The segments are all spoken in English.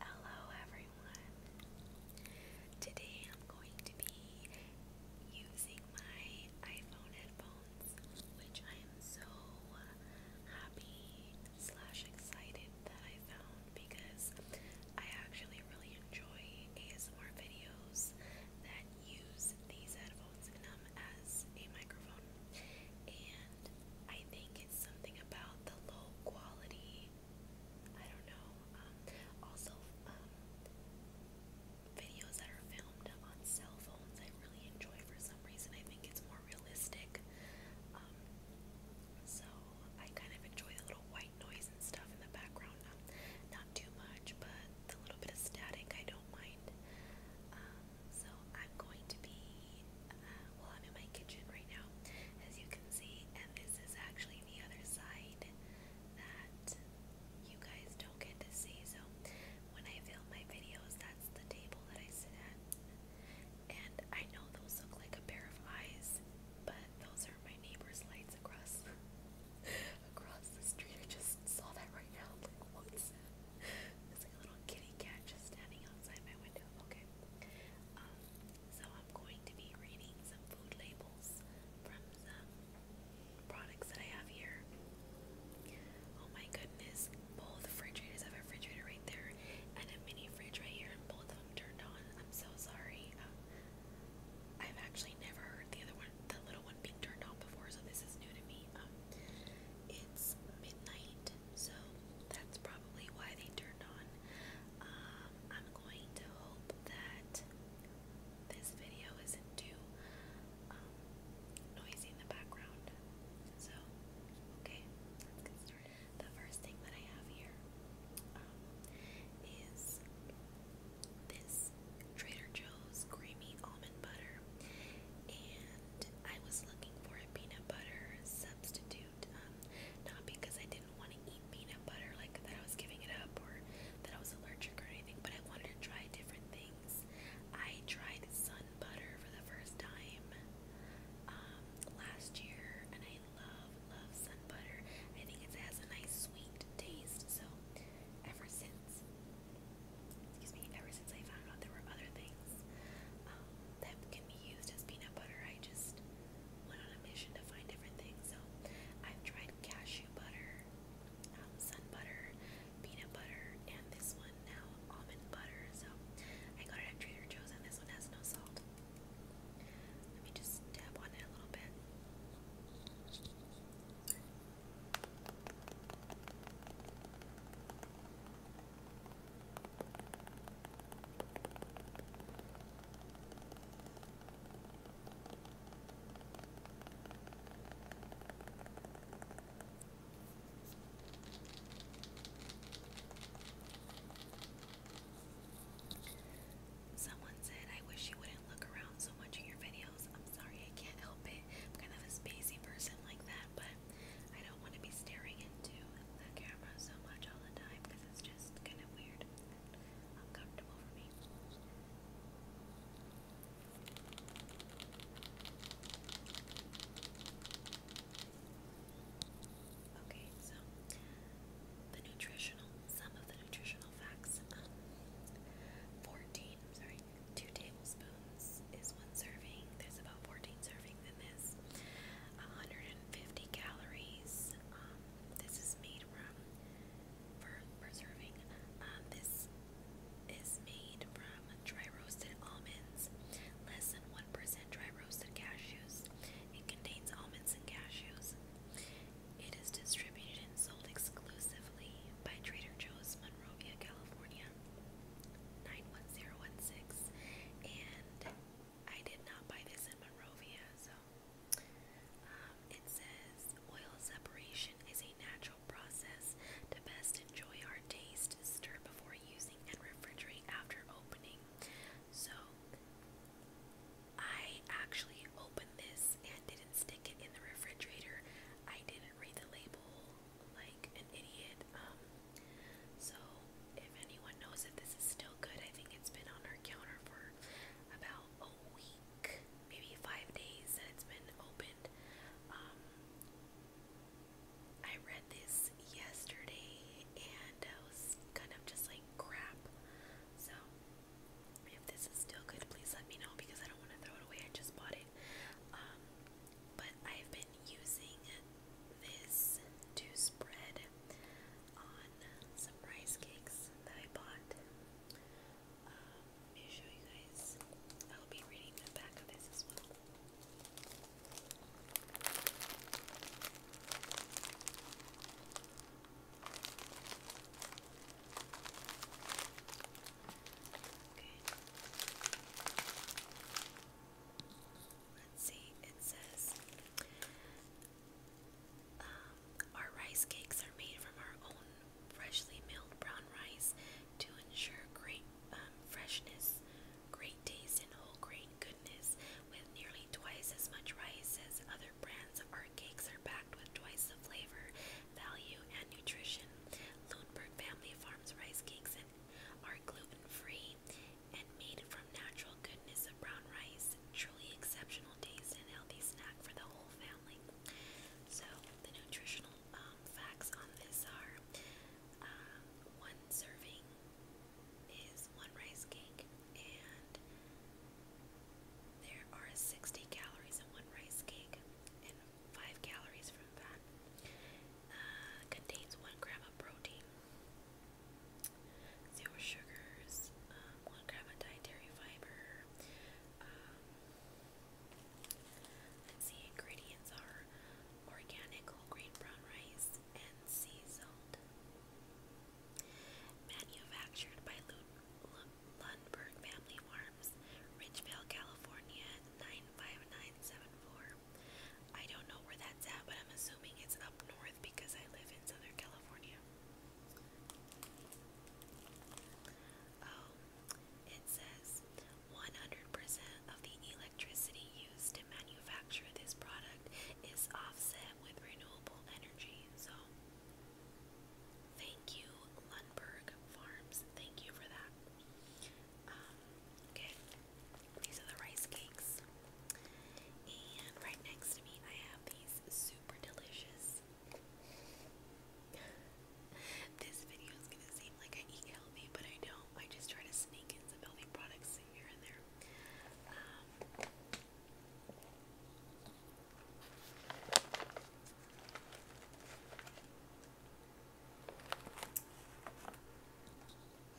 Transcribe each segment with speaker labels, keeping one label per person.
Speaker 1: Hello everyone. Today I'm going to be using my iPhone headphones, which I am so happy slash excited that I found because I actually really enjoy ASMR videos that use these headphones in them as a microphone. And I think it's something about the low quality. I don't know. Um, also, um, videos that are filmed on cell phones, I really enjoy for some reason. I think it's more realistic. Um, so I kind of enjoy the little white noise and stuff in the background. not too much, but the little bit of static I don't mind. so I'm going to be well, I'm in my kitchen right now, as you can see, and this is actually the other side that you guys don't get to see. So when I film my videos, that's the table that I sit at, and I know those look like a pair of eyes, but those are my neighbor's lights across across the street. I just saw that right now. like, what's It's like a little kitty cat just standing outside my window. Okay time. Um, so I'm going to be reading some food labels from some products that I have here. Oh my goodness, both refrigerators I have a refrigerator right there and a mini fridge right here, and both of them turned on. I'm so sorry. Um, I've actually never heard the other one, the little one, being turned on before, so this is new to me. Um, it's midnight so that's probably why they turned on. Um, I'm going to hope that this video isn't too um, noisy in the background. So, okay, let's get started. The first thing that I have here um, this Trader Joe's creamy almond butter, and I was looking for a peanut butter substitute. Um, not because I didn't want to eat peanut butter, like that I was giving it up or that I was allergic or anything, but I wanted to try different things. I tried sun butter for the first time um, last year, and I love, love sun butter. I think it has a nice sweet taste, so ever since. Excuse me, ever since I found out there were other things um, can be used as peanut butter. I just went on a mission to find different things. So I've tried cashew butter, um, sun butter, peanut butter, and this one now almond butter. So I got it at Trader Joe's, and this one has no salt. Let me just dab on it a little bit. Someone said, I wish you wouldn't look around so much in your videos. I'm sorry, I can't help it. I'm kind of a spacey person like that, but I don't want to be staring into the camera so much all the time because it's just kind of weird uncomfortable for me. Okay, so the nutritional, some of the nutritional facts. 14, sorry, 2 tablespoons is one serving. There's about 14 servings than this. 150 calories. Um, this is made from for preserving. Um, this is made from dry roasted almonds, less than one percent dry roasted cashews. It contains almonds and cashews. It is distributed and sold exclusively by Trader Joe's, Monrovia, California. 91016 and I did not buy this in Monrovia, so um, it says oil separation is a natural process to best enjoy our taste. Stir before using and refrigerate after opening. So I actually opened this and didn't stick it in the refrigerator. I didn't read the label like an idiot. Um, so if anyone knows if this is still good, I think it's been on our counter for about a week, maybe five days that it's been opened. Um, I read this yesterday and I was kind of just like crap. So if this is still good, please let me know because I don't want to throw it away. I just bought it. Um, but I've been been using this to spread on some rice cakes that I bought. Um, let me show you guys. I'll be reading the back of this as well. Okay. Let's see, it says um, Our rice cakes are made from our own freshly milled brown rice to ensure great um, freshness, great taste, and whole grain goodness. With nearly twice as much rice as other brands, our cakes are packed with twice the flavor, value, and nutrition. Lundberg Family Farms rice cakes and are gluten-free and made from natural goodness of brown rice. Truly exceptional taste and healthy snack for the whole family. So the nutritional um, facts on this are um, one serving is one rice cake and there are 60 calories in one rice cake and 5 calories from fat uh, contains one gram of protein, zero sugars, um, one gram of dietary fiber. Um, let's see, ingredients are organic whole grain brown rice and sea salt. Manufactured by Lundberg Family Farms, Ridgevale, California, 95974. I don't know where that's at, but I'm assuming it's up north because I live in Southern California. Oh, it says 100% of the electricity used to manufacture this product is offset with renewable energy. So, thank you, Lundberg Farms. Thank you for that. Um, these are the rice cakes. And right next to me, I have these super delicious. this video is gonna seem like I eat healthy, but I don't. I just try to sneak in some healthy products here and there. Um,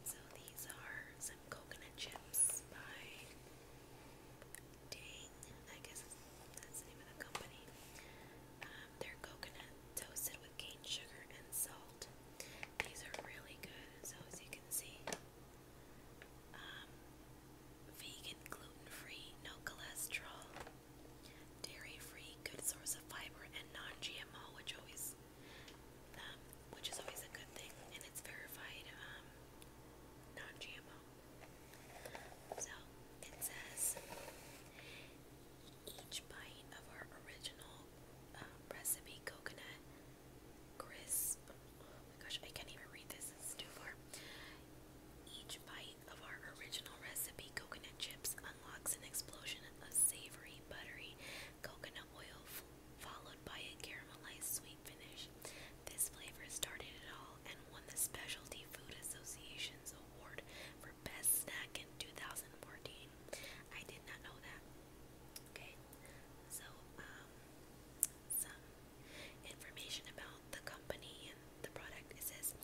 Speaker 1: so these are some coconut chips by Dang, I guess that's the name of the company. Um, they're coconut toasted with cane sugar and salt. These are really good, so as you can see, um, vegan, gluten free, no cholesterol dairy-free, good source of fiber, and non-GMO, um, which is always a good thing, and it's verified um, non-GMO. So it says each bite of our original um, recipe coconut crisp. Oh my gosh, I can't even read this. It's too far. Each bite of our original recipe coconut chips unlocks an explosion of savory creamy, buttery coconut oil, followed by a caramelized sweet finish. This flavor started it all and won the Specialty Food Association's award for best snack in 2014. I did not know that. Okay, so um, some information about the company and the product. It says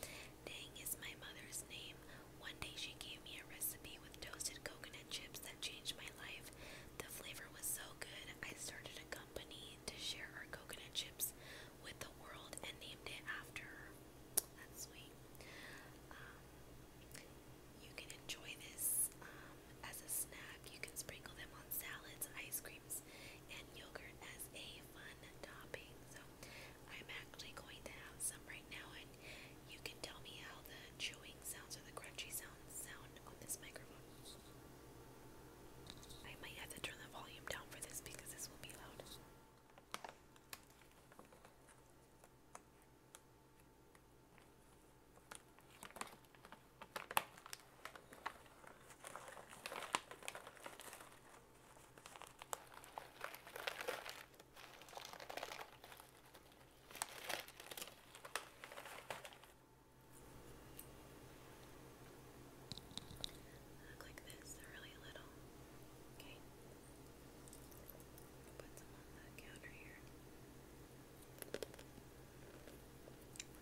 Speaker 1: Dang is my mother's name. One day she gave me a recipe with toasted coconut chips that changed my life. The flavor was so good, I started a company to share our coconut chips with the world and named it after her. That's sweet. Um, you can enjoy this um, as a snack. You can sprinkle them on salads, ice creams, and yogurt as a fun topping. So I'm actually going to have some right now, and you can tell me how the chewing sounds or the crunchy sounds sound on this microphone. I might have to turn the volume down for this because this will be loud. Look like this, they're really little. Okay. Put some on the counter here.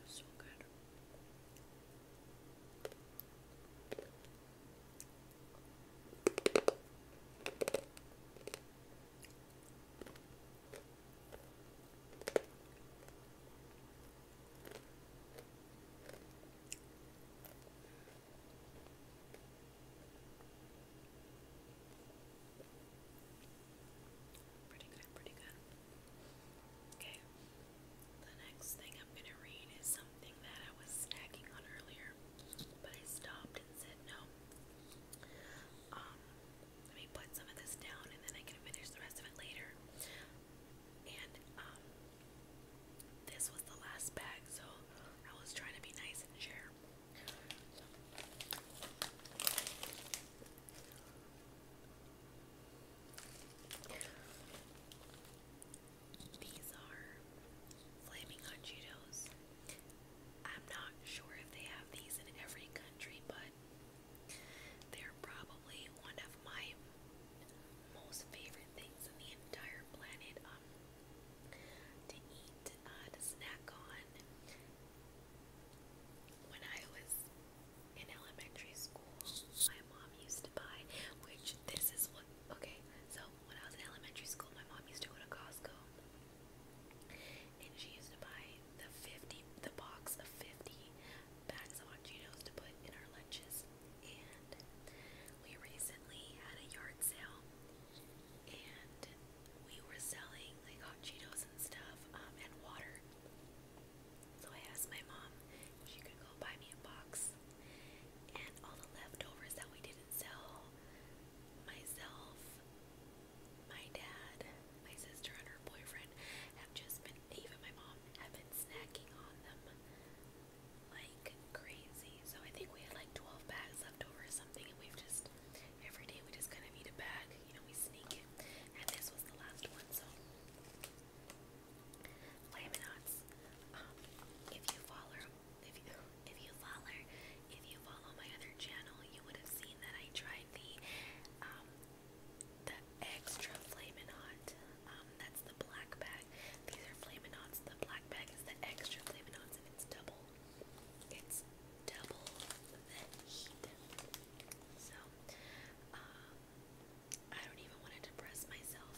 Speaker 1: So good. Pretty good, pretty good. Okay. The next thing I'm going to read is something that I was snacking on earlier. But I stopped and said, no. Um, let me put some of this down and then I can finish the rest of it later. And, um, this was the last bag, so I was trying to be nice and share. These are Flaming Hot Cheetos. I'm not sure if they have these in every country, but they're probably one of my most favorite things in the entire planet um, to eat, uh, to snack on. When I was in elementary school, my mom used to buy, which this is what, okay, so when I was in elementary school, my mom used to go to Costco, and she used to buy the fifty, the box of fifty bags of hot Cheetos to put in our lunches. And we recently had a yard sale, and we were selling like hot Cheetos and stuff, um, and water. So I asked my mom if she could go buy me a box house. And all the leftovers that we didn't sell, myself, my dad, my sister, and her boyfriend have just been, even my mom, have been snacking on them like crazy. So I think we had like 12 bags left over or something, and we've just, every day we just kind of eat a bag. You know, we sneak it. And this was the last one, so. Laminates. Um, if you follow if you if you follow if you follow my other channel, you would have seen that I tried the um the extra flamin' Um, that's the black bag. These are flamin' The black bag is the extra flamin' and it's double. It's double So, um, I don't even want to depress myself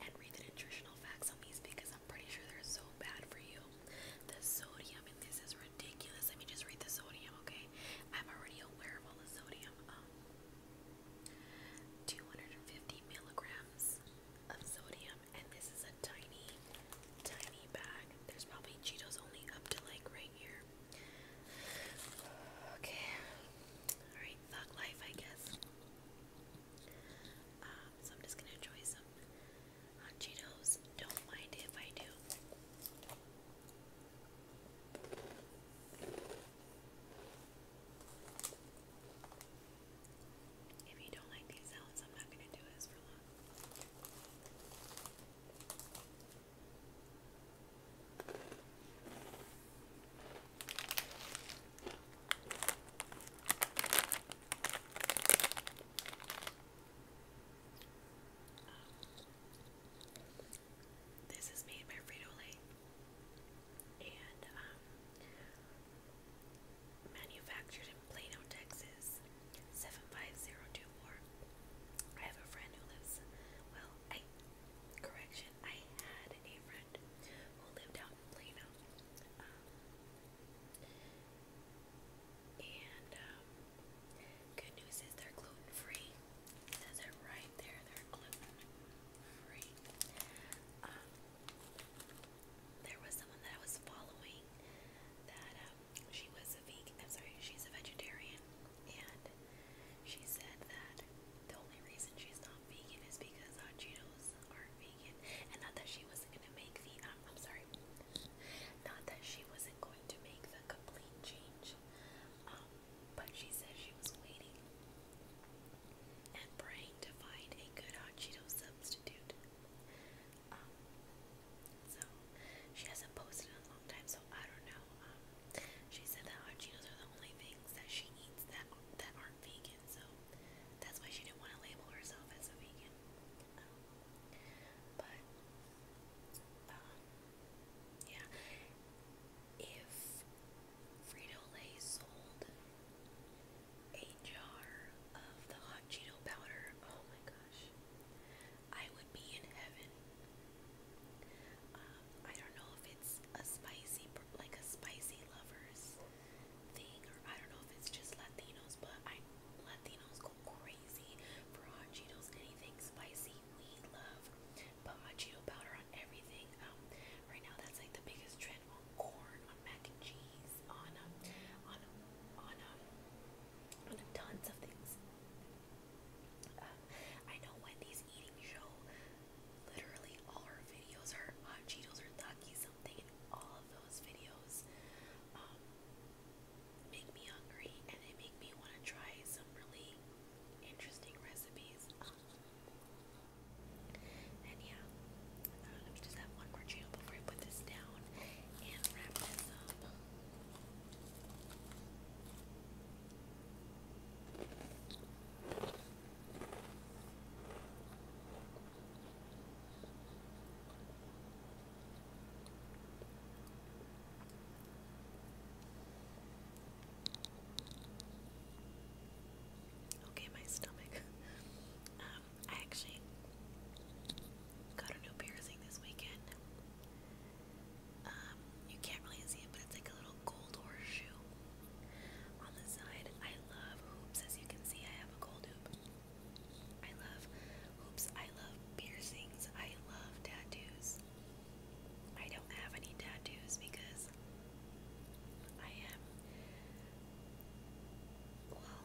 Speaker 1: and read the nutritional facts on these because I'm pretty sure they're so bad for you. The sodium in this is ridiculous. I mean, just read the sodium, okay? I'm already aware of all the sodium. Um, 250 milligrams of sodium, and this is a tiny, tiny bag. There's probably Cheetos only up to like right here. Okay, alright, thug life, I guess. Um, so I'm just gonna enjoy some hot Cheetos. Don't mind if I do. If you don't like these sounds, I'm not gonna do this for long. This is made by Frito Lay and um, manufactured in Plano, Texas, 75024. I have a friend who lives, well, correction, I had a friend friend who lived out in Plano. Um, and um, good news is they're gluten free. It says it right there, they're gluten free. Um, there was someone that I was following that um, she was a vegan. I'm sorry, she's a vegetarian, and she said that the only reason she's not vegan is because hot Cheetos aren't vegan, and not that she wasn't gonna make the. I'm sorry, not that she wasn't going to make the complete change, um, but she said she was waiting and praying to find a good hot Cheeto substitute. Um, so she hasn't posted in a long time, so I don't know. Um, she said that hot Cheetos are the only things that she eats that that are vegan, so that's why she didn't want to label herself as a vegan. but um, yeah, if Frito Lay sold a jar of the hot Cheeto powder, oh my gosh, I would be in heaven. Um, I don't know if it's a spicy, like a spicy lovers thing, or I don't know if it's just Latinos, but Latinos go crazy for hot Cheetos, anything spicy we love, but hot powder on everything. Um, right now that's like the biggest trend on corn, on mac and cheese, on um, on on um, on tons of things. Um, I know Wendy's eating show literally all her videos are hot uh, Cheetos or something, all of those videos um, make me hungry and they make me want to try some really interesting recipes. And yeah, let me just have one more channel before I put this down and wrap this up. Okay, my stomach. Um, I actually got a new piercing this weekend. Um, you can't really see it, but it's like a little gold horseshoe. On the side, I love hoops. As you can see, I have a gold hoop. I love hoops. I love piercings. I love tattoos. I don't have any tattoos because I am, well,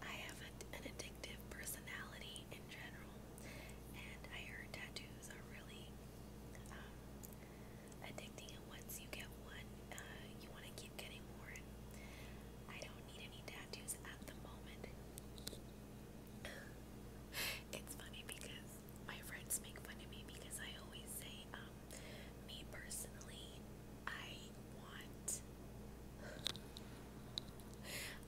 Speaker 1: I have an addictive personality in general, and I heard tattoos are really um, addicting, and once you get one, uh, you want to keep getting more. And I don't need any tattoos at the moment. it's funny because my friends make fun of me because I always say, um, me personally, I want.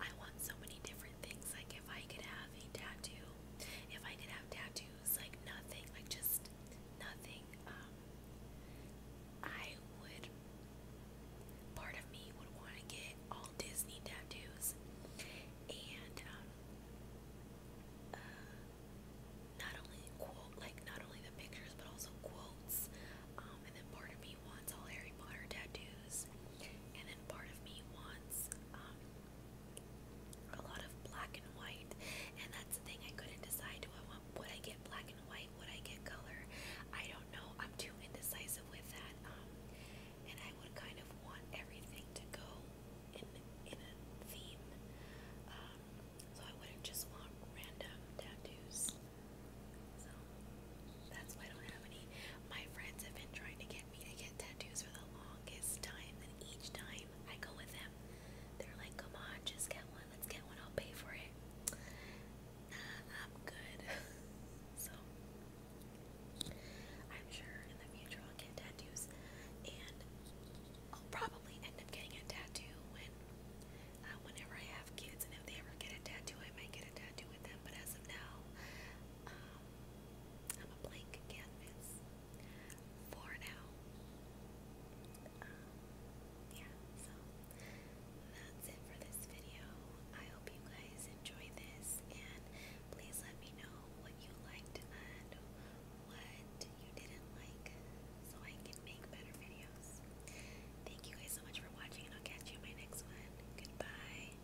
Speaker 1: I want so many different things. Like, if I could have a tattoo, if I could have tattoos issues, like nothing, like just nothing. Um, I would, part of me would want to get all Disney tattoos, and um, uh, not only quote, like not only the pictures, but also quotes. Um, and then part of me wants all Harry Potter tattoos, and then part of me wants um, a lot of black and white, and that's the thing. I couldn't decide. Do I want? Would I get black and white? Would I get color? I don't know. I'm too indecisive with that. Um, and I would kind of want everything to go in in a theme. Um, so I wouldn't just want random tattoos. So that's why I don't have any. My friends have been trying to get me to get tattoos for the longest time, and each time I go with them, they're like, come on, just get one, let's get one, I'll pay for it. I'm good. so, I'm sure in the future I'll get tattoos, and I'll probably end up getting a tattoo when, uh, whenever I have kids, and if they ever get a tattoo, I might get a tattoo with them, but as of now, um, I'm a blank canvas for now. Um, yeah, so that's it for this video. I hope you guys enjoyed this, and please let me know what you liked and what you didn't like so I can make better videos. Thank you guys so much for watching, and I'll catch you in my next one. Goodbye.